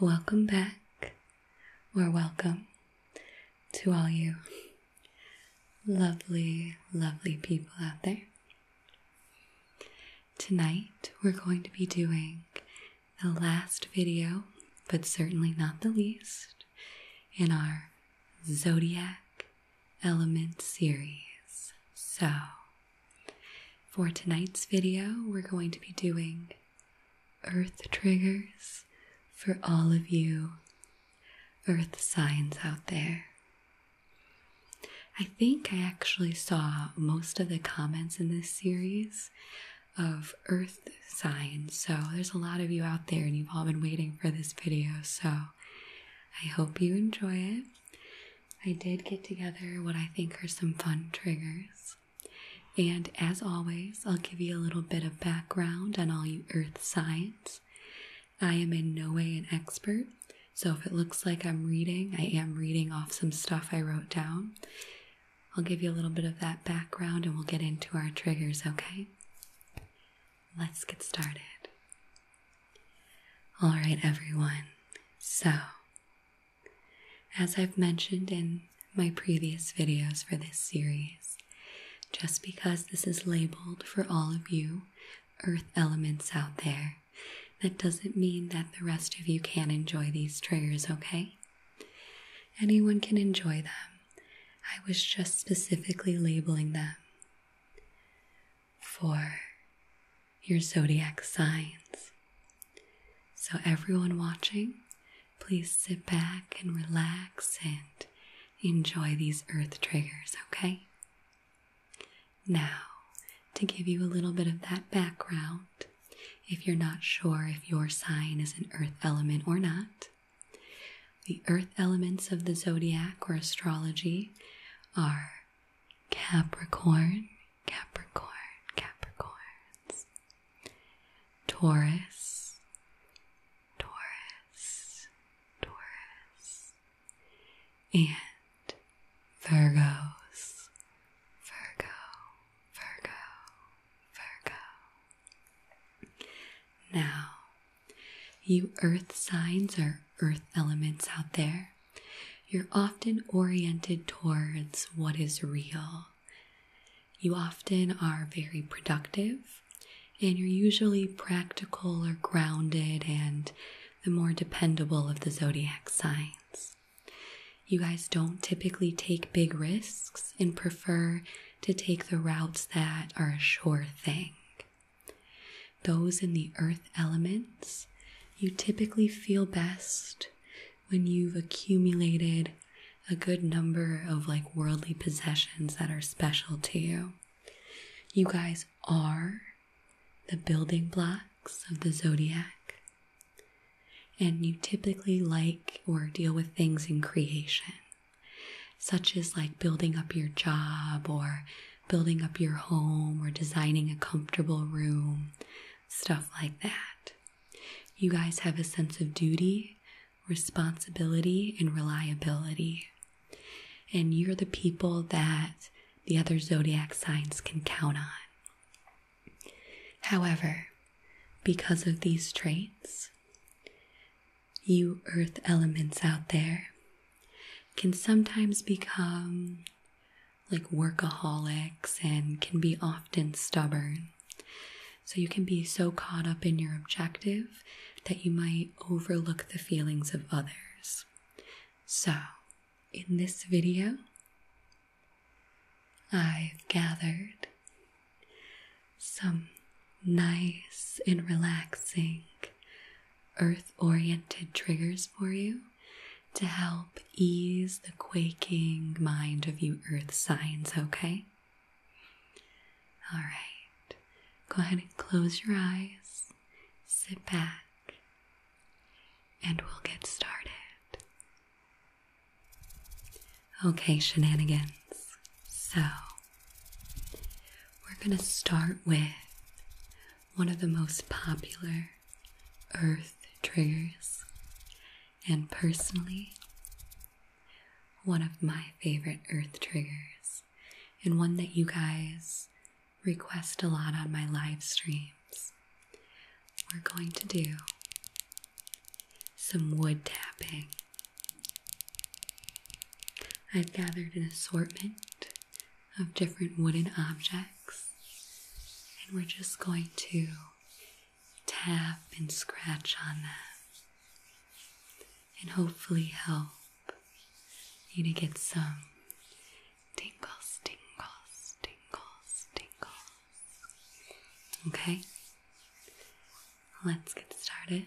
Welcome back, or welcome to all you lovely, lovely people out there. Tonight we're going to be doing the last video, but certainly not the least, in our Zodiac Element series. So, for tonight's video, we're going to be doing earth triggers for all of you earth signs out there. I think I actually saw most of the comments in this series of earth signs. So there's a lot of you out there, and you've all been waiting for this video. So I hope you enjoy it. I did get together what I think are some fun triggers. And as always, I'll give you a little bit of background on all you earth signs. I am in no way an expert, so if it looks like I'm reading, I am reading off some stuff I wrote down. I'll give you a little bit of that background and we'll get into our triggers, okay? Let's get started. All right, everyone. So, as I've mentioned in my previous videos for this series, just because this is labeled for all of you earth elements out there, that doesn't mean that the rest of you can't enjoy these triggers, okay? Anyone can enjoy them. I was just specifically labeling them for your zodiac signs. So, everyone watching, please sit back and relax and enjoy these earth triggers, okay? Now, to give you a little bit of that background, if you're not sure if your sign is an earth element or not, the earth elements of the zodiac or astrology are Capricorn, Capricorn, Capricorns, Taurus, Taurus, Taurus, and Virgos, Virgo, Virgo, Virgo. Now, you earth signs or earth elements out there, you're often oriented towards what is real. You often are very productive and you're usually practical or grounded and the more dependable of the zodiac signs. You guys don't typically take big risks and prefer to take the routes that are a sure thing. Those in the earth elements, you typically feel best when you've accumulated a good number of like worldly possessions that are special to you. You guys are the building blocks of the zodiac, and you typically like or deal with things in creation, such as like building up your job or building up your home or designing a comfortable room, stuff like that. You guys have a sense of duty, responsibility, and reliability. And you're the people that the other zodiac signs can count on. However, because of these traits, you earth elements out there can sometimes become like workaholics and can be often stubborn. So you can be so caught up in your objective that you might overlook the feelings of others. So, in this video, I've gathered some nice and relaxing earth oriented triggers for you to help ease the quaking mind of you earth signs, okay? All right, go ahead and close your eyes, sit back, and we'll get started. Okay, shenanigans. So, we're going to start with one of the most popular earth triggers, and personally, one of my favorite earth triggers, and one that you guys request a lot on my live streams, we're going to do some wood tapping. I've gathered an assortment of different wooden objects, and we're just going to tap and scratch on them and hopefully help you to get some tingles, tingles, tingles, tingles. Okay, let's get started.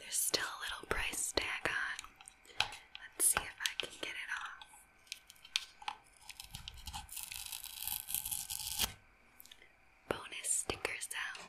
There's still a little price tag on. Let's see if I can get it off. Bonus stickers out.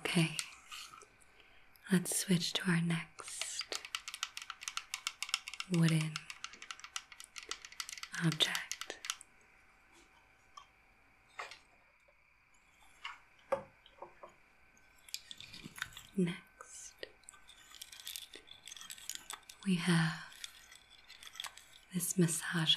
Okay, let's switch to our next wooden object. Next, we have this massager.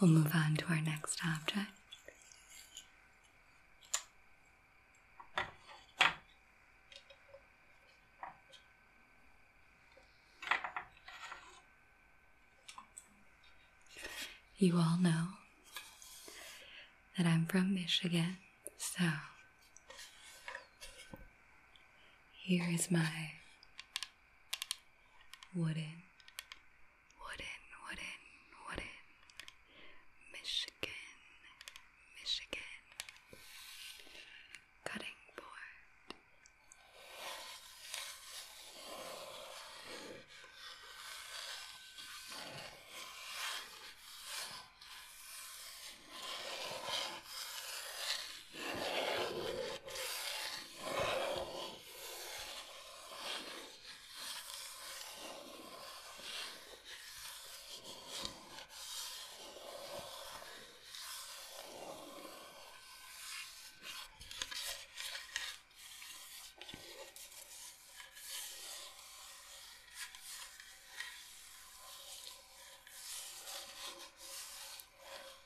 We'll move on to our next object. You all know that I'm from Michigan, so here is my wooden Wooden, wooden, wooden. Michigan, Michigan. Cutting board.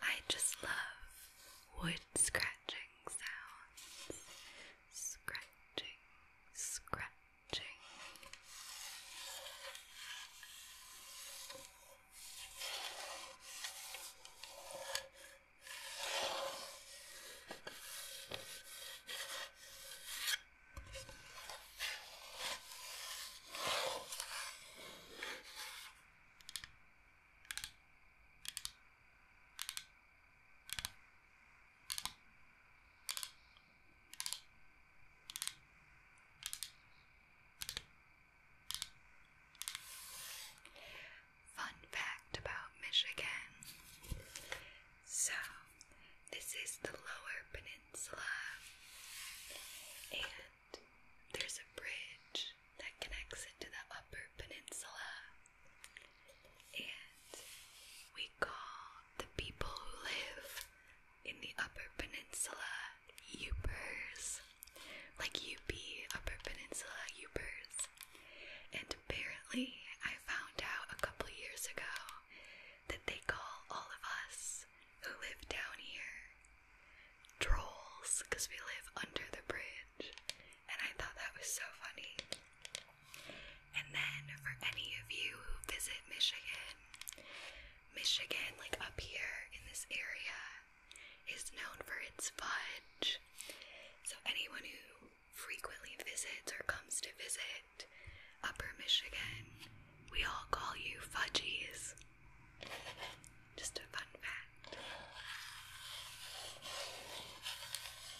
I just love wood scratching sounds scratching, scratching. Fun fact about Michigan. So, this is the lower peninsula, and there's a bridge that connects it to the upper peninsula. And we call the people who live in the Upper Peninsula Upers. Like UP, Upper Peninsula Upers. And apparently, I found out a couple years ago that they call all of us who live down here trolls because we live under the bridge. And I thought that was so funny. And then for any of you who visit Michigan, Michigan, like up here in this area, is known for its fudge. So anyone who frequently visits or comes to visit Upper Michigan, we all call you fudgies. Just a fun fact.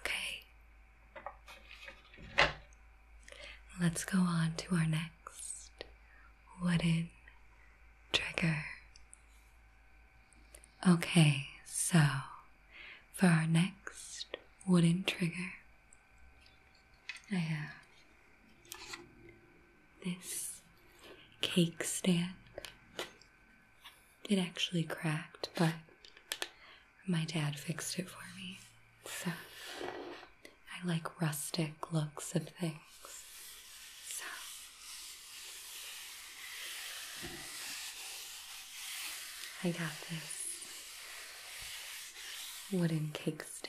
Okay. Let's go on to our next wooden trigger. Okay, so for our next wooden trigger, I have this cake stand. It actually cracked, but my dad fixed it for me. So I like rustic looks of things. So I got this wooden cake stand.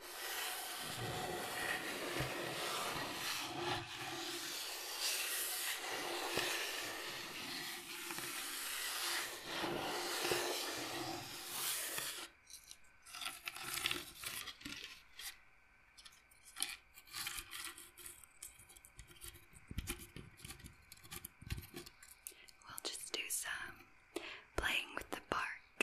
We'll just do some playing with the bark.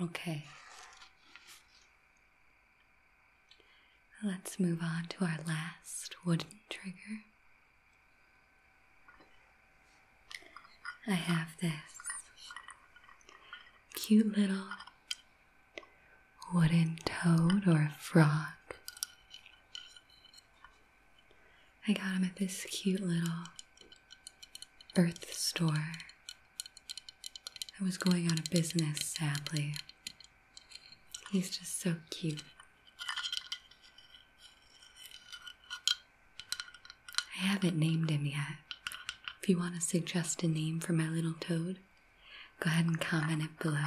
Okay. Let's move on to our last wooden trigger. I have this cute little wooden toad or frog. I got him at this cute little birth store. I was going out of business, sadly. He's just so cute. I haven't named him yet. If you want to suggest a name for my little toad, go ahead and comment it below.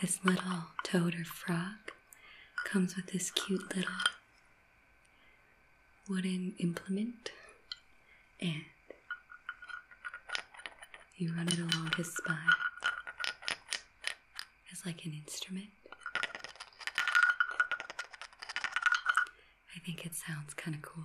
this little toad or frog comes with this cute little wooden implement and you run it along his spine It's like an instrument. I think it sounds kind of cool.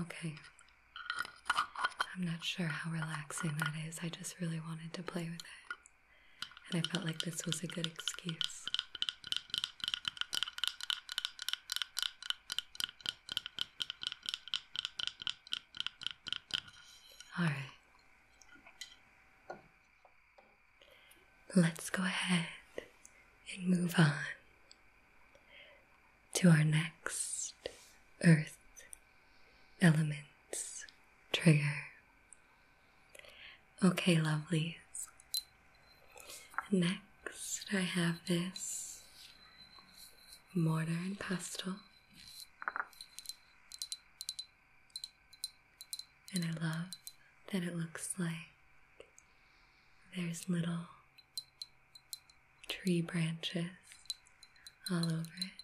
Okay. I'm not sure how relaxing that is. I just really wanted to play with it. And I felt like this was a good excuse. All right. Let's go ahead and move on to our next earth elements trigger. Okay, lovelies, Next, I have this mortar and pestle, and I love that it looks like there's little tree branches all over it.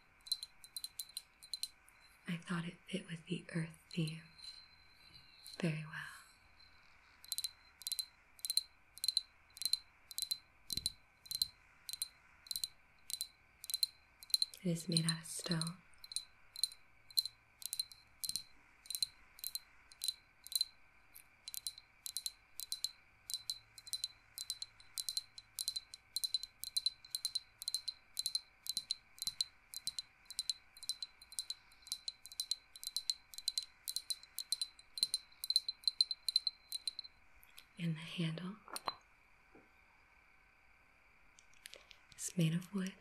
I thought it fit with the earth theme very well. It is made out of stone. And the handle is made of wood.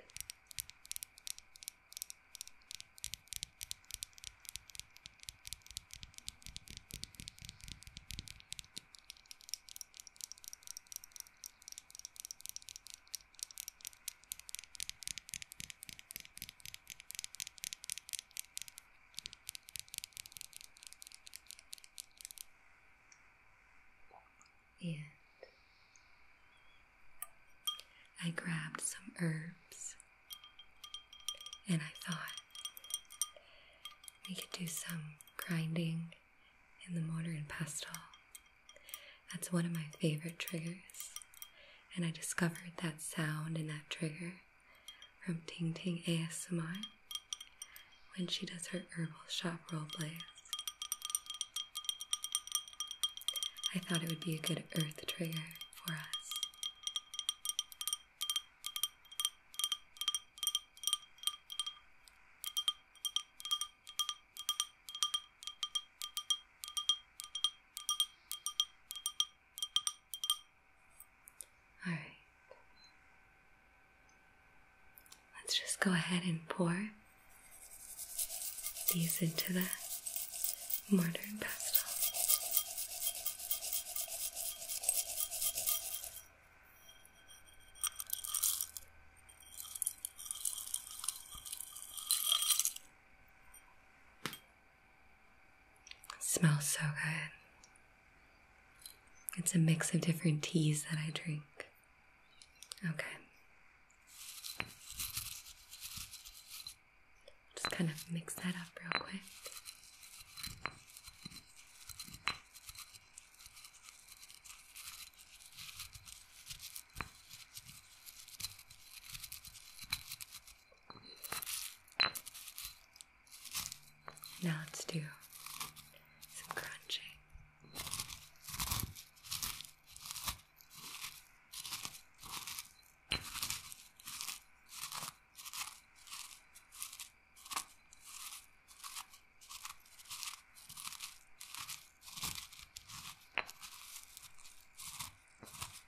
And I grabbed some herbs and I thought we could do some grinding in the mortar and pestle. That's one of my favorite triggers and I discovered that sound and that trigger from Ting Ting ASMR when she does her herbal shop role plays. I thought it would be a good earth trigger for us. All right. Let's just go ahead and pour these into the mortar and pestle smells so good. It's a mix of different teas that I drink. Okay. Just kind of mix that up real quick. Now let's do some crunching.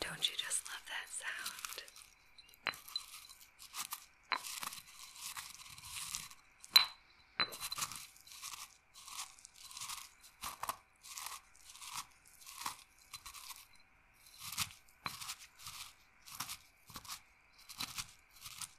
Don't you just love that sound?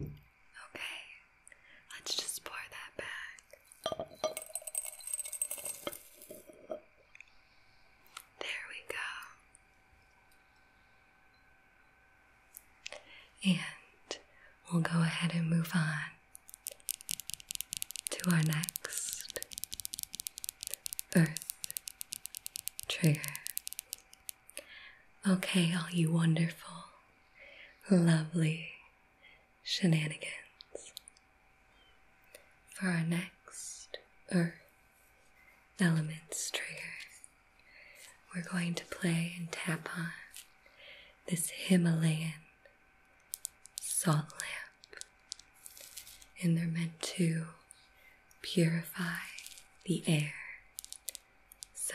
Okay, let's just pour that back. There we go. And we'll go ahead and move on to our next earth trigger. Okay, all you wonderful, lovely shenanigans. For our next Earth Elements trigger, we're going to play and tap on this Himalayan salt lamp. And they're meant to purify the air. So,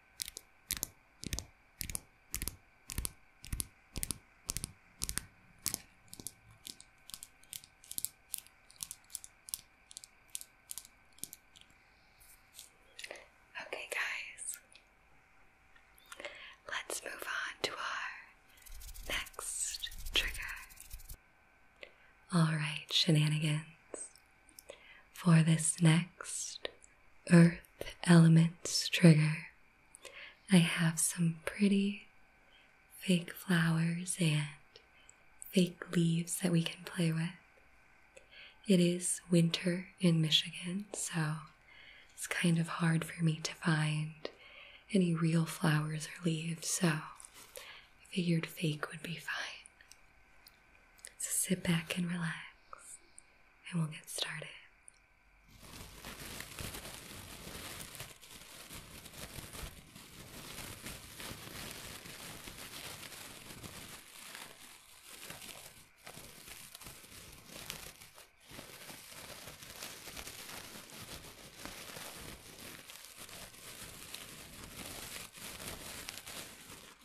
Okay, guys, let's move on to our next trigger. All right, shenanigans. For this next earth elements trigger, I have some pretty fake flowers and fake leaves that we can play with. It is winter in Michigan, so it's kind of hard for me to find any real flowers or leaves, so I figured fake would be fine. So sit back and relax and we'll get started.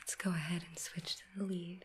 Let's go ahead and switch to the leaves.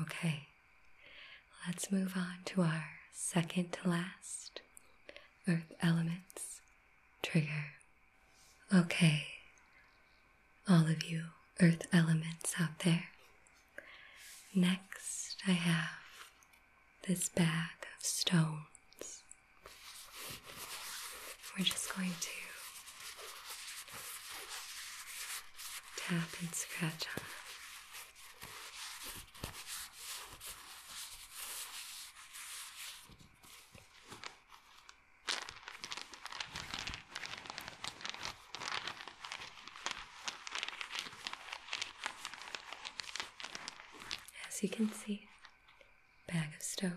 Okay, let's move on to our second to last earth elements trigger. Okay, all of you earth elements out there. Next, I have this bag of stones. We're just going to tap and scratch on them. As you can see, bag of stones.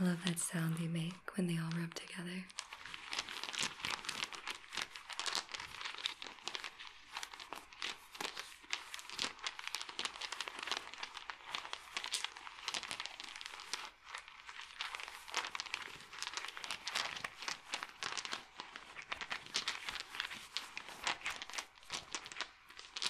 I love that sound they make when they all rub together.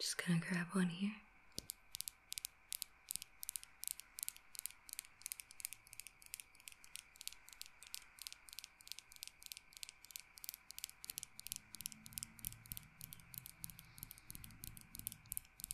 Just gonna grab one here.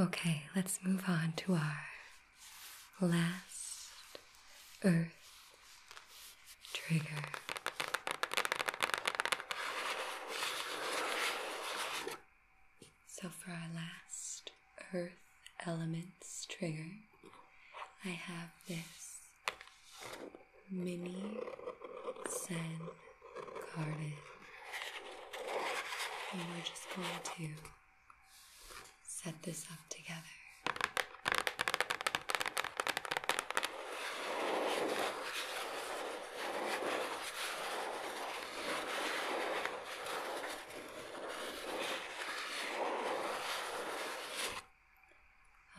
Okay, let's move on to our last earth trigger. So, for our last earth elements trigger, I have this mini Sen garden. And we're just going to set this up together.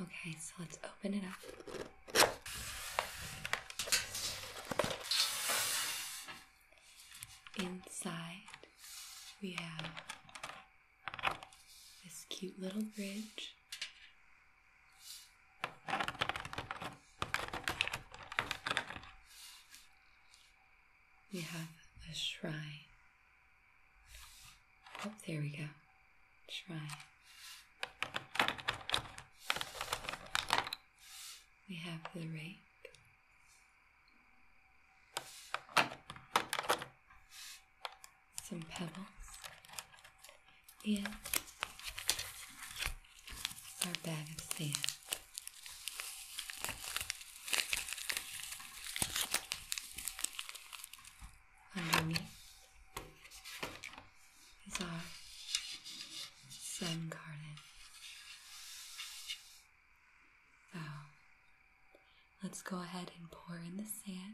Okay, so let's open it up. Inside, we have this cute little bridge we have a shrine. Oh, there we go. Shrine. We have the rape. Some pebbles. And our bag of sand. Underneath is our garden. So let's go ahead and pour in the sand.